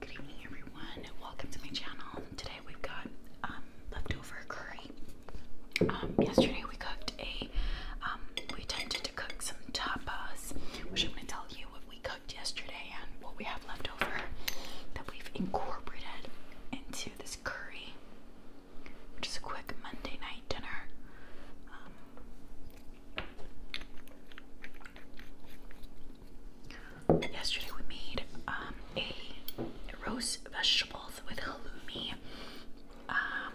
Good evening, everyone. Welcome to my channel. Today we've got um, leftover curry. Um, yesterday we cooked a, um, we attempted to cook some tapas, which I'm going to tell you what we cooked yesterday and what we have left over that we've incorporated into this curry, which is a quick Monday night dinner. Yesterday we made um, a roast vegetables with halloumi um,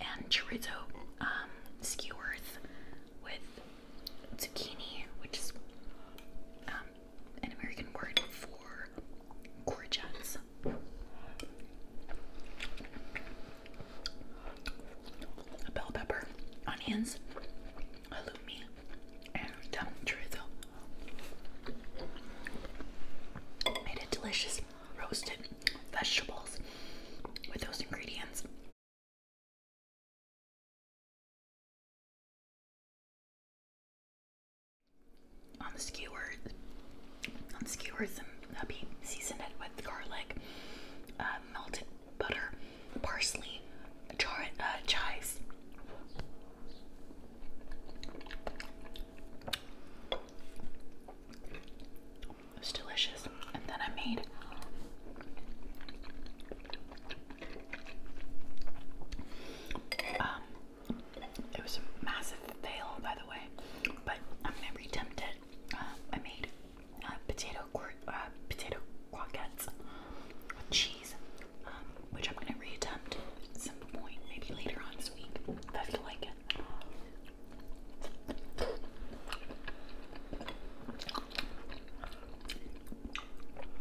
and chorizo um, skewers with zucchini, which is um, an American word for courgettes. Bell pepper, onions, halloumi and um, Made it delicious roasted vegetables with those ingredients. On the skewers, on skewers, and hubby seasoned it with garlic, uh, melted butter, parsley, char uh, chives. It was delicious. And then I made um it was a massive fail by the way, but I'm never tempted. Uh, I made um, potato quir uh, potato croquettes with cheese, um, which I'm gonna reattempt some point, maybe later on this week if I feel like it.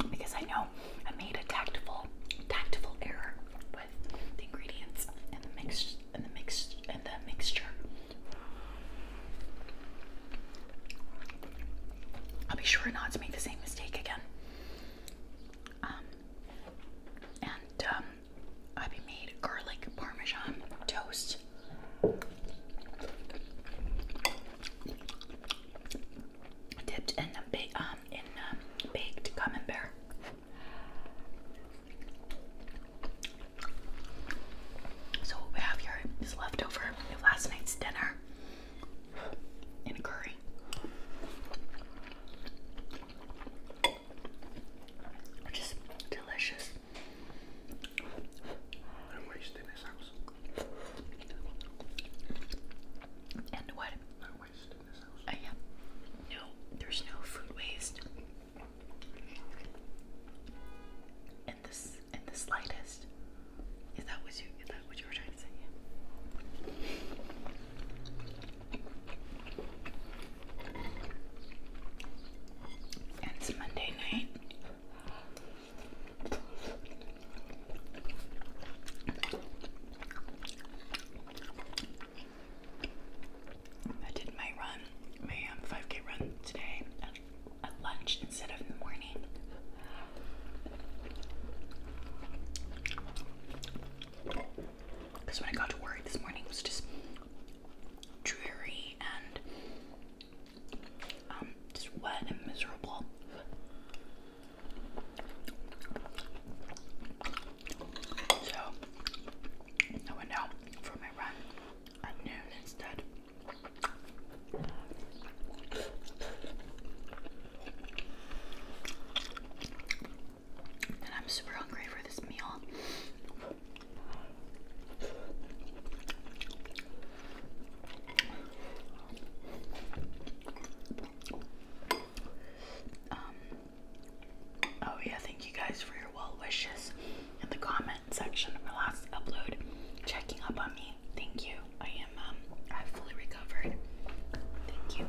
Because I know I made a tactful, tactful error with the ingredients and the mix and the mix and the mixture. I'll be sure not to make the same mistake again. Um, and um, I made garlic parmesan toast. Dipped in um, in um, baked camembert. So we have here is leftover last night's dinner in a curry. Which is delicious. I'm wasting this house. And what? No waste in this house. I am. No, there's no food waste in the slightest. Is that what you is that what you were trying to say? it's Monday night. I did my run, my um, 5k run today at lunch instead of in the morning. Because when I got to work this morning, it was just dreary and um, just wet and miserable. So I went for my run at noon instead. And I'm super hungry for this meal. Um, oh, yeah, thank you guys for your well wishes in the comments section of my last upload checking up on me. Thank you. I am um I've fully recovered. Thank you.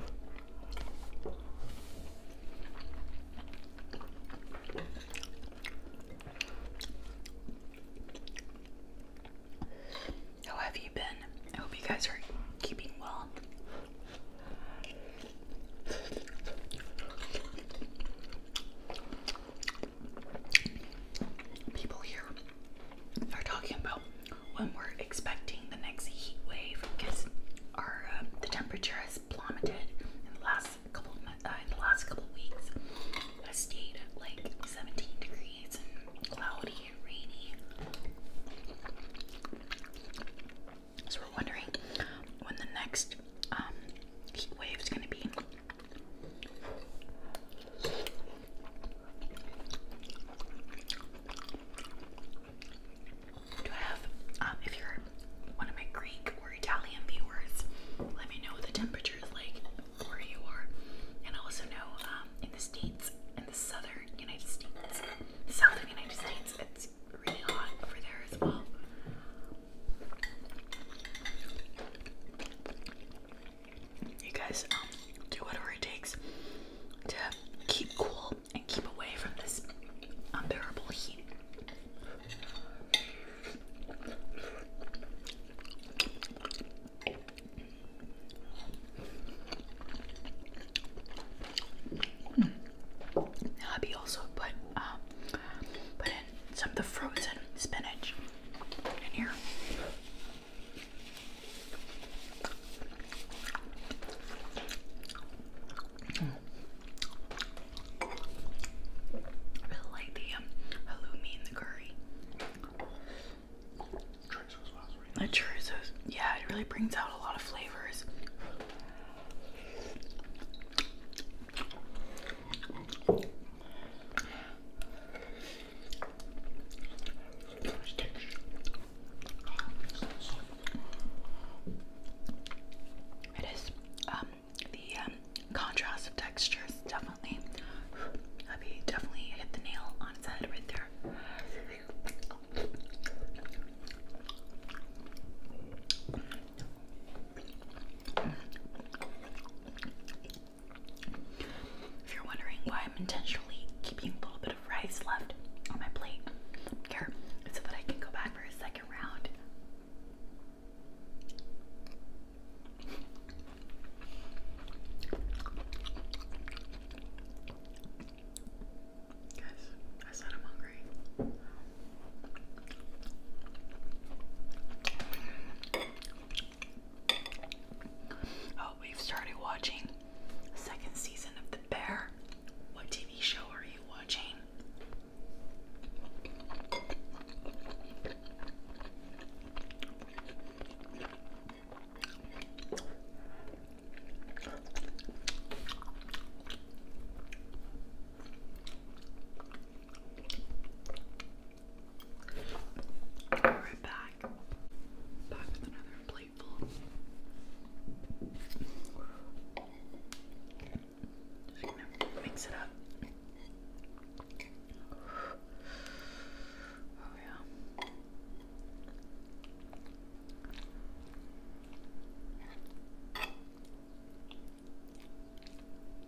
How have you been? I hope you guys are keeping well people here are talking about when we're expecting the next heat wave because our uh, the temperature has plummeted in the last couple of, uh, in the last couple weeks. It stayed at like 17 degrees and cloudy and rainy. So we're wondering when the next um, heat wave is going to be. Um, if you're one of my Greek or Italian viewers, let me know what the temperature is like where you are. And also know um, in the States, in the southern United States, south of the United States, it's really hot over there as well you guys um, do whatever it takes to keep cool and keep away from this unbearable heat. Mm. also put uh, some of the frozen spinach in here. I really like the um, the curry. The chorizos, yeah, it really brings out a lot of flavors. It is um, the um, contrast of textures definitely Abby definitely hit the nail on its head right there. If you're wondering why I'm intentionally keeping a little bit of rice left on my plate here, so that I can go back for a second round. Guys, I said I'm hungry. Oh, we've started watching second season of The Bear. What TV show are you watching? Alright, back. Back with another plateful. Just gonna mix it up. Oh, yeah.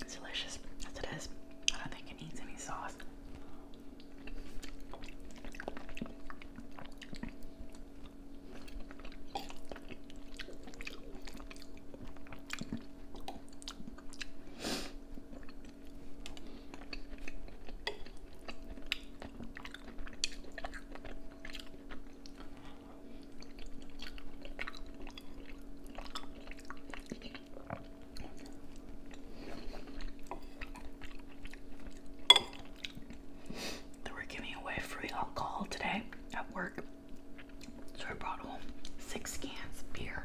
It's delicious as it is. I don't think it needs any sauce. They were giving away free alcohol today at work. So I brought home six cans of beer.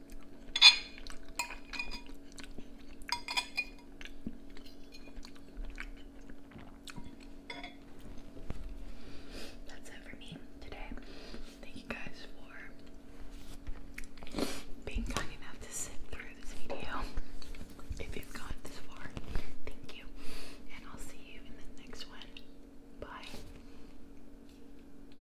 That's it for me today. Thank you guys for being kind enough to sit through this video. If you've gone this far, thank you. And I'll see you in the next one. Bye.